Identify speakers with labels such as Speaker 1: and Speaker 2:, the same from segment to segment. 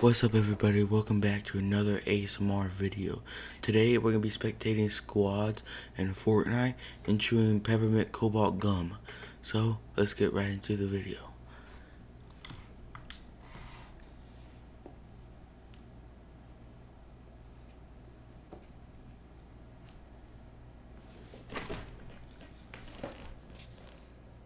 Speaker 1: What's up everybody, welcome back to another ASMR video. Today we're going to be spectating squads in Fortnite and chewing peppermint cobalt gum. So, let's get right into the video.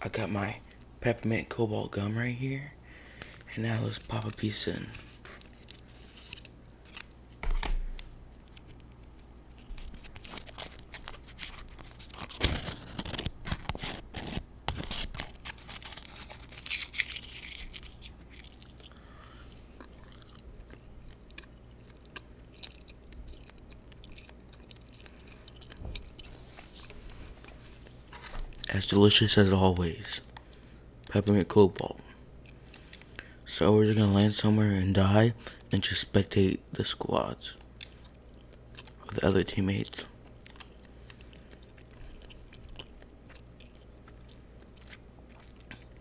Speaker 1: I got my peppermint cobalt gum right here. And now let's pop a piece in. As delicious as always. Peppermint Cobalt. So we are just gonna land somewhere and die and just spectate the squads. with other teammates.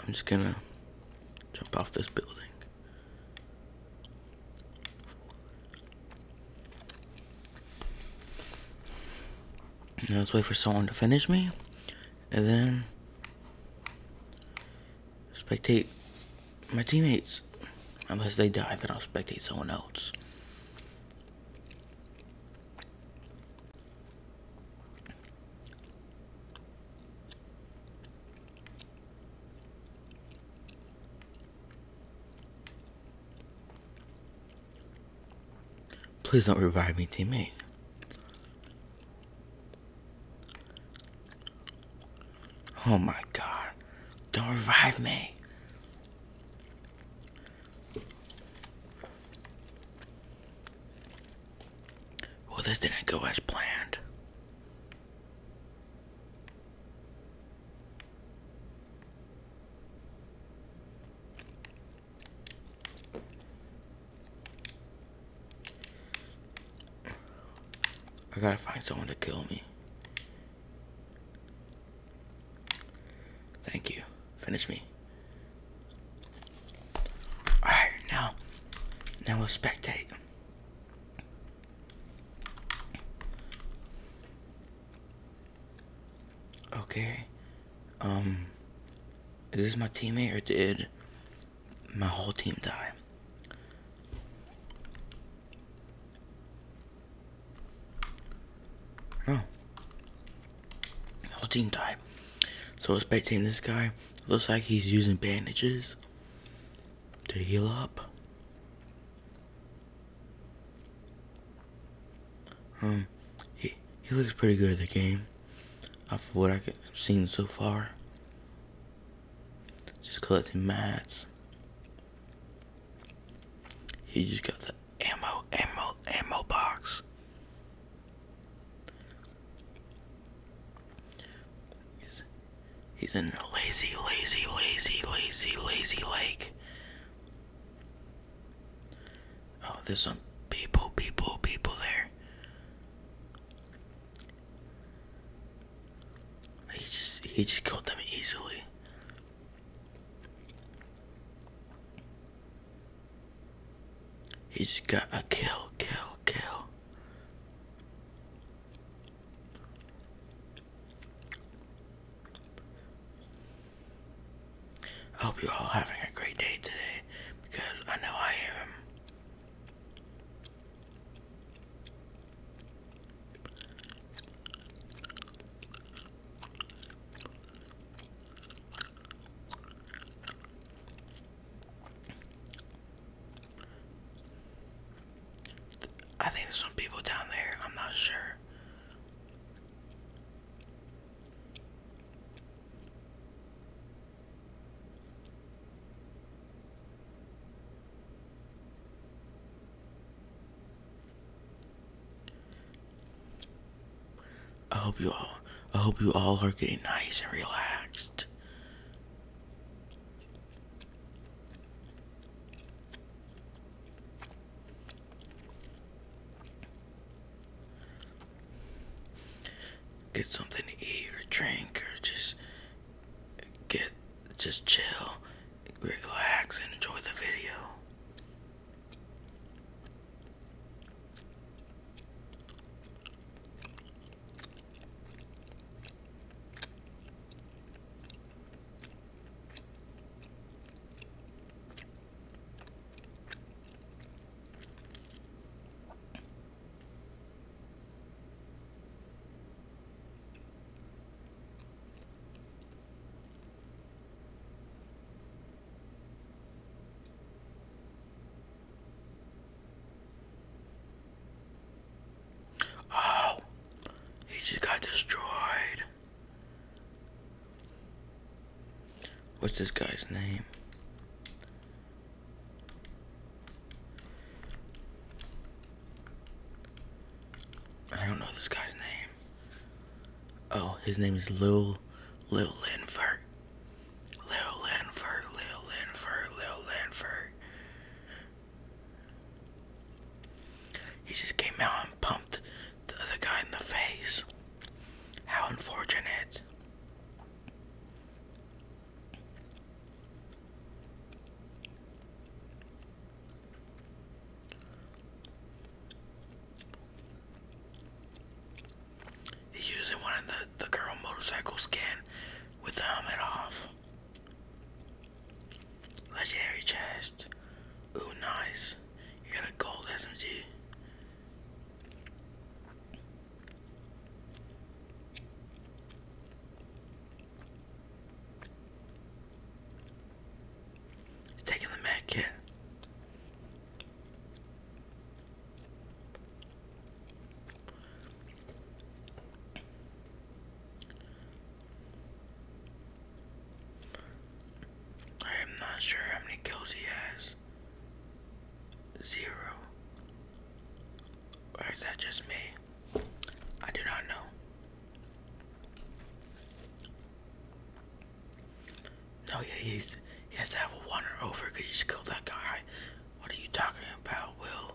Speaker 1: I'm just gonna jump off this building. Now let's wait for someone to finish me. And then spectate my teammates. Unless they die, then I'll spectate someone else. Please don't revive me, teammate. Oh my god. Don't revive me. Well, this didn't go as planned. I gotta find someone to kill me. Thank you. Finish me. Alright, now. Now we'll spectate. Okay. Um. Is this my teammate or did my whole team die? Oh, The whole team died. So I was this guy. Looks like he's using bandages to heal up. Um, he, he looks pretty good at the game. Uh, Off of what I've seen so far. Just collecting mats. He just got the ammo, ammo, ammo box. He's, he's in a lazy, lazy, lazy, lazy, lazy lake. Oh, there's some people, people, people there. He just he just killed them easily. He's got to kill, kill, kill. hope you're all having a great day today because I know I am. I think there's some people down there, I'm not sure. I hope you all I hope you all are getting nice and relaxed. Get something to eat or drink or just get just chill relax and enjoy the video. Oh, he just got destroyed. What's this guy's name? I don't know this guy's name. Oh, his name is Lil Lil Linford. Lil Linford, Lil Linford, Lil Linford. He just came out and pumped the other guy in the face. How unfortunate. He's using one of the, the girl motorcycles skin with the helmet off. Legendary chest. Ooh, nice. You got a gold SMG taking the med kit. I am not sure how many kills he has. Zero. Or is that just me? I do not know. No, yeah, he's, he has to have a one over because you just killed that guy. What are you talking about, Will?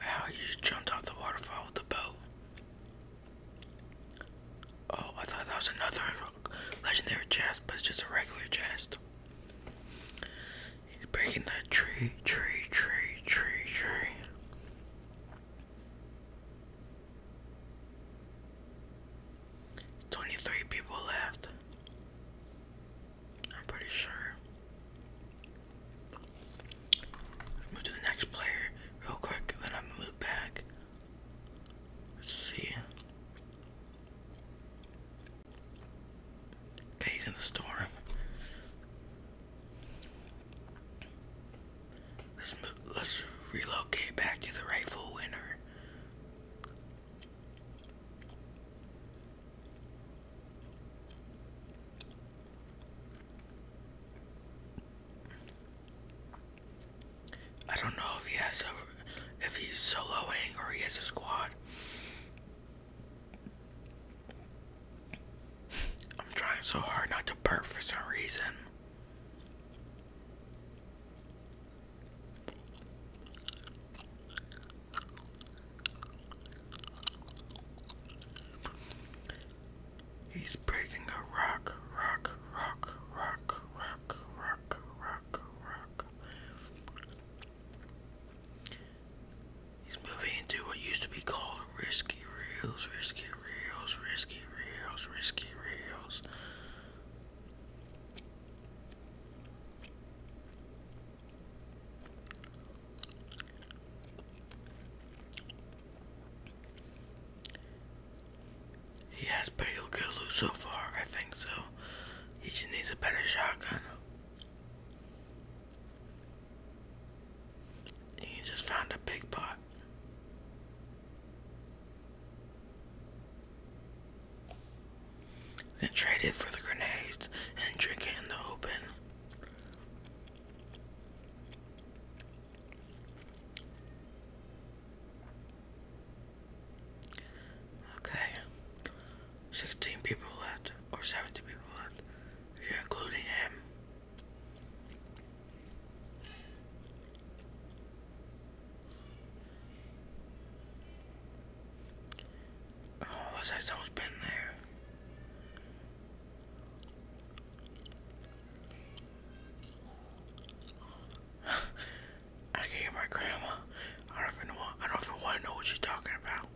Speaker 1: Wow, you jumped off the waterfall with the boat. Oh, I thought that was another legendary chest, but it's just a regular chest. He's breaking the tree, tree, tree, tree, tree. Twenty-three people left. I'm pretty sure. move to the next player real quick, and then I'm going back. Let's see. Okay, he's in the store. Let's let's relocate back to the rightful winner. I don't know if he has a, if he's soloing or he has a squad. I'm trying so hard not to burp for some reason. He's breaking a rock, rock, rock, rock, rock, rock, rock, rock. He's moving into what used to be called risky reels, risky reels, risky reels, risky reels. He has get good loot so far, I think so. He just needs a better shotgun. He just found a big pot. Then trade for the grenades and drink in the open. Okay. 16 people left, or 17 people left, if you're including him. Oh, looks like someone been there. I can hear my grandma. I don't even want. I don't even want to know what she's talking about.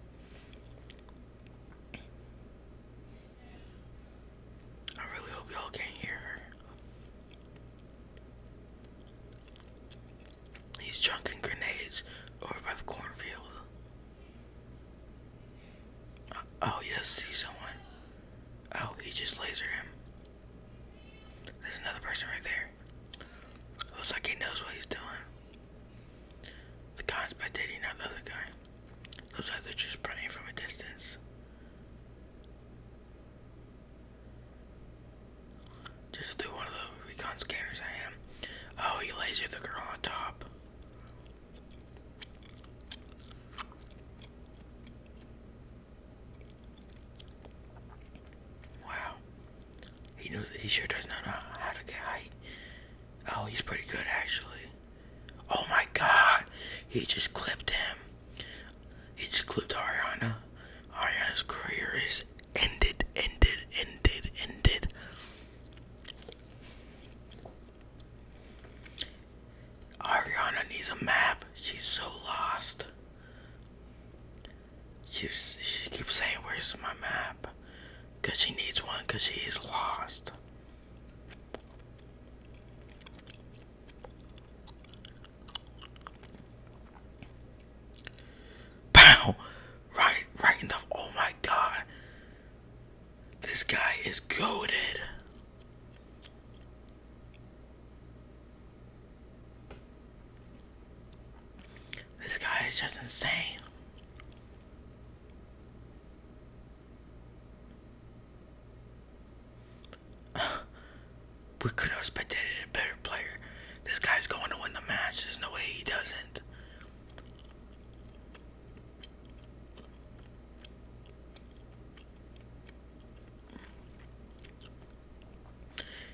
Speaker 1: I really hope y'all can't hear her. He's chunking grenades over by the cornfield. Uh, oh, he does see someone. Oh, he just lasered him. There's another person right there. Looks like he knows what he's doing. The guy's spectating, not the other guy. Looks like they're just praying from a distance. Just threw one of the recon scanners at him. Oh, he lasered the girl on top. Wow. He knows he sure does know how to get height. Oh, he's pretty good actually. Oh my god. He just clipped him. He just clipped Ariana. Ariana's career is ended, ended, ended, ended. Ariana needs a map. She's so lost. She's, she keeps saying, Where's my map? Because she needs one because she's lost. Pow! Right, right in the. Oh my god. This guy is goaded. This guy is just insane. we could have expected a better player. This guy's going to win the match. There's no way he doesn't.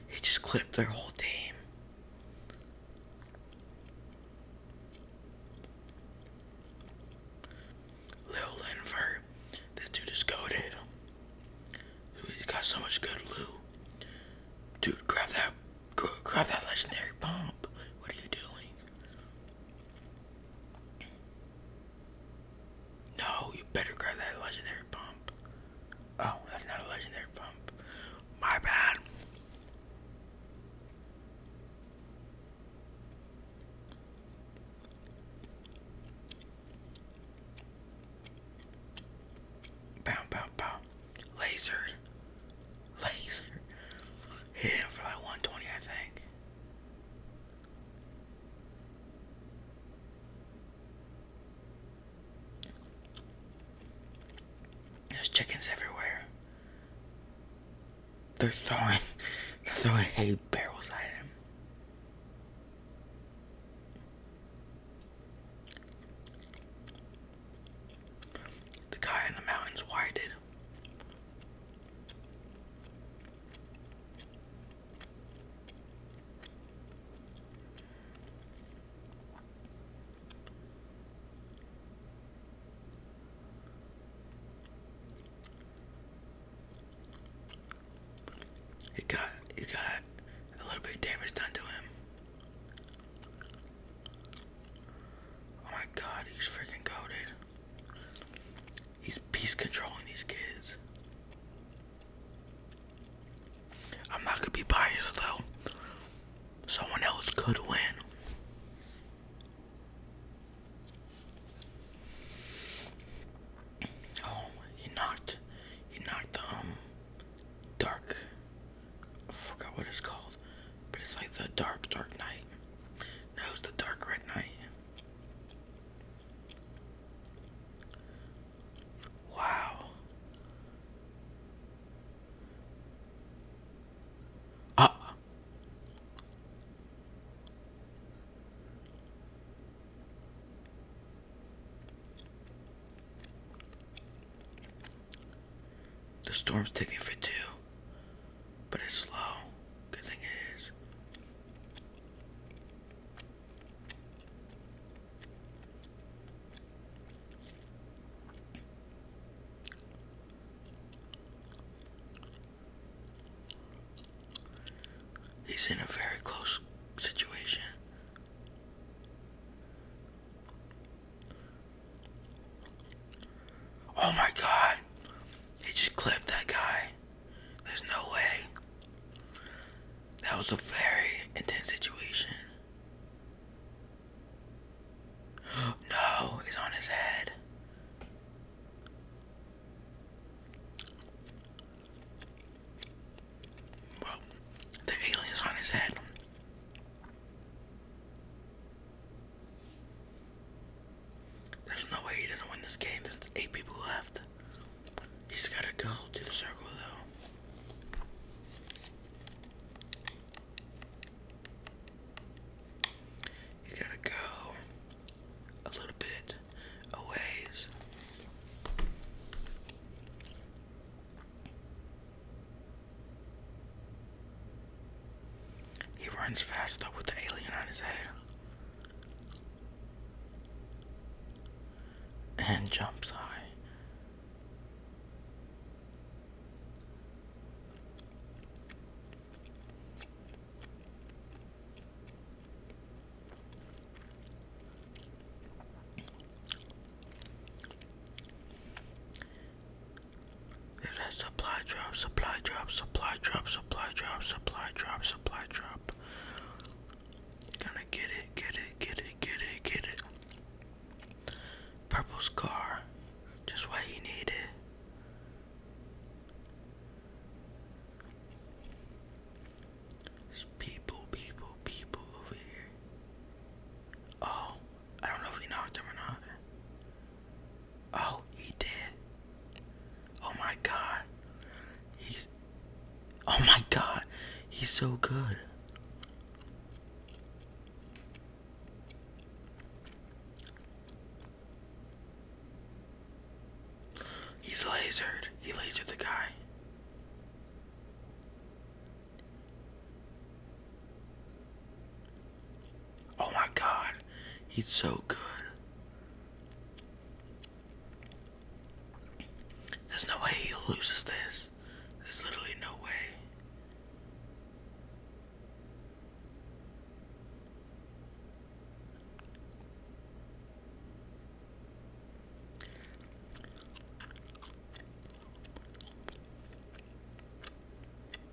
Speaker 1: He just clipped their whole team. Lil Linver, this dude is goaded. He's got so much good loot. Dude, grab that, grab that legendary bomb. What are you doing? No, you better grab that legendary pump. Oh, that's not a legendary pump. My bad. Bow, bow, bow. Laser. Laser. Hit him for like 120, I think. There's chickens everywhere. They're throwing, they're throwing hay barrels at him. The guy in the mountains, why it got it got a little bit of damage done to him. Oh my god, he's freaking coated. He's peace controlling these kids. I'm not gonna be biased though. Someone else could win. Oh, he knocked. He knocked um dark. I forgot what it's called, but it's like the dark dark night. No, it's the dark red night. Wow. Uh. The storm's taking for two but it's slow. Good thing it is. He's in a very close situation. Oh my god! He just clipped that guy. There's no way. That was a very intense situation. No, it's on his head. Bro, the alien's on his head. There's no way he doesn't win this game. There's eight people left. He's gotta go to the circle though. You gotta go a little bit a he runs fast though with the alien on his head. And jumps high. Is that supply drop, supply drop, supply drop, supply drop, supply drop, supply drop? Gonna get it, get it, get it, get it, get it. Purple scar, just what he needed. There's people, people, people over here. Oh, I don't know if he knocked him or not. Oh, he did. Oh my god. He's. Oh my god. He's so good. He's lasered. He lasered the guy. Oh my god, he's so good. There's no way he loses this. There's literally no way.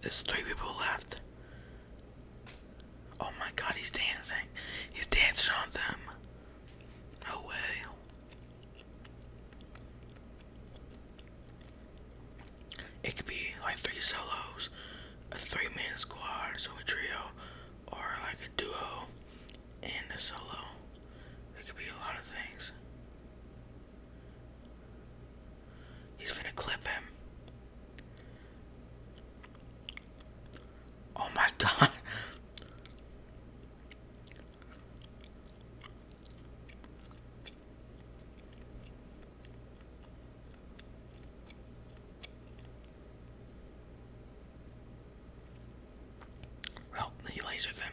Speaker 1: There's three people left. Oh my god, he's dancing. He's dancing on them. No way. It could be like three solos, a three man squad, so a trio, or like a duo and a solo. It could be a lot of things. He's gonna clip him. Oh my god. Well, he lasered him.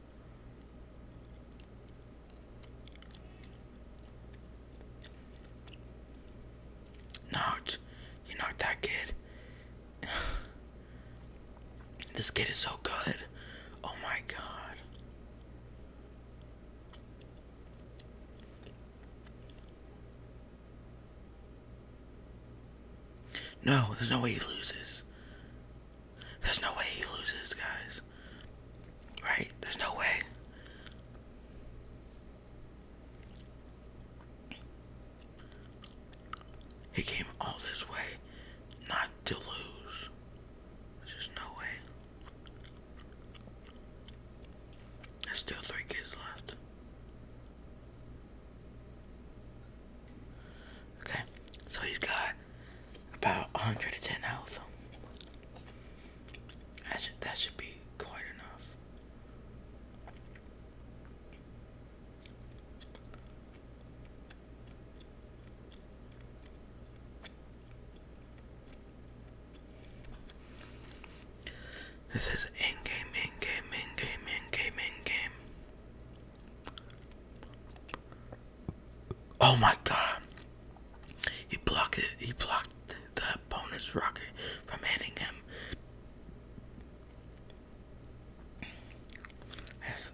Speaker 1: Knocked. You knocked that kid. this kid is so good. Oh my god. No, there's no way he loses. There's no way he loses, guys. Right? There's no way. He came all this way not to lose. There's just no way. There's still three kids left. Okay, so he's got about 110 health. That should, that should be quite enough. This is in game, in game, in game, in game, in game. Oh my god. He blocked it. He blocked the opponent's rocket from hitting him.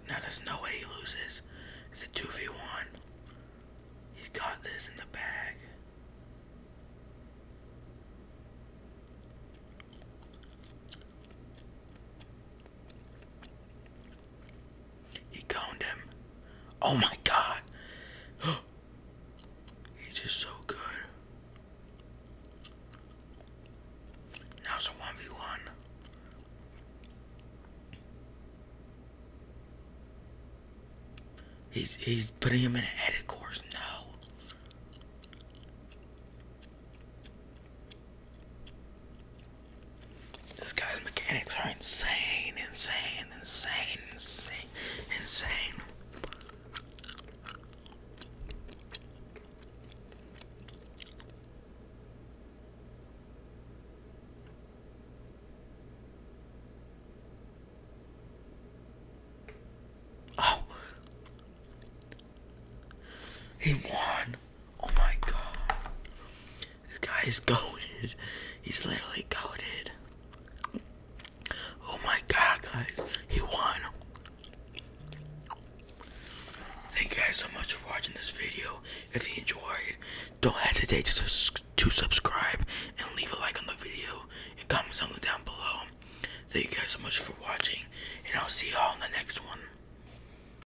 Speaker 1: now there's no way he loses. It's a 2v1. He's got this in the bag. He coned Oh my god. He's just so good. Now it's a 1v1. He's he's putting him in an edit course. No. This guy's mechanics are insane, insane, insane, insane, insane. Oh, he won. Oh my god. This guy is goaded. He's literally goaded. Oh my god, guys. He won. Thank you guys so much for watching this video. If you enjoyed, don't hesitate to, to subscribe and leave a like on the video and comment something down below. Thank you guys so much for watching, and I'll see y'all in the next one.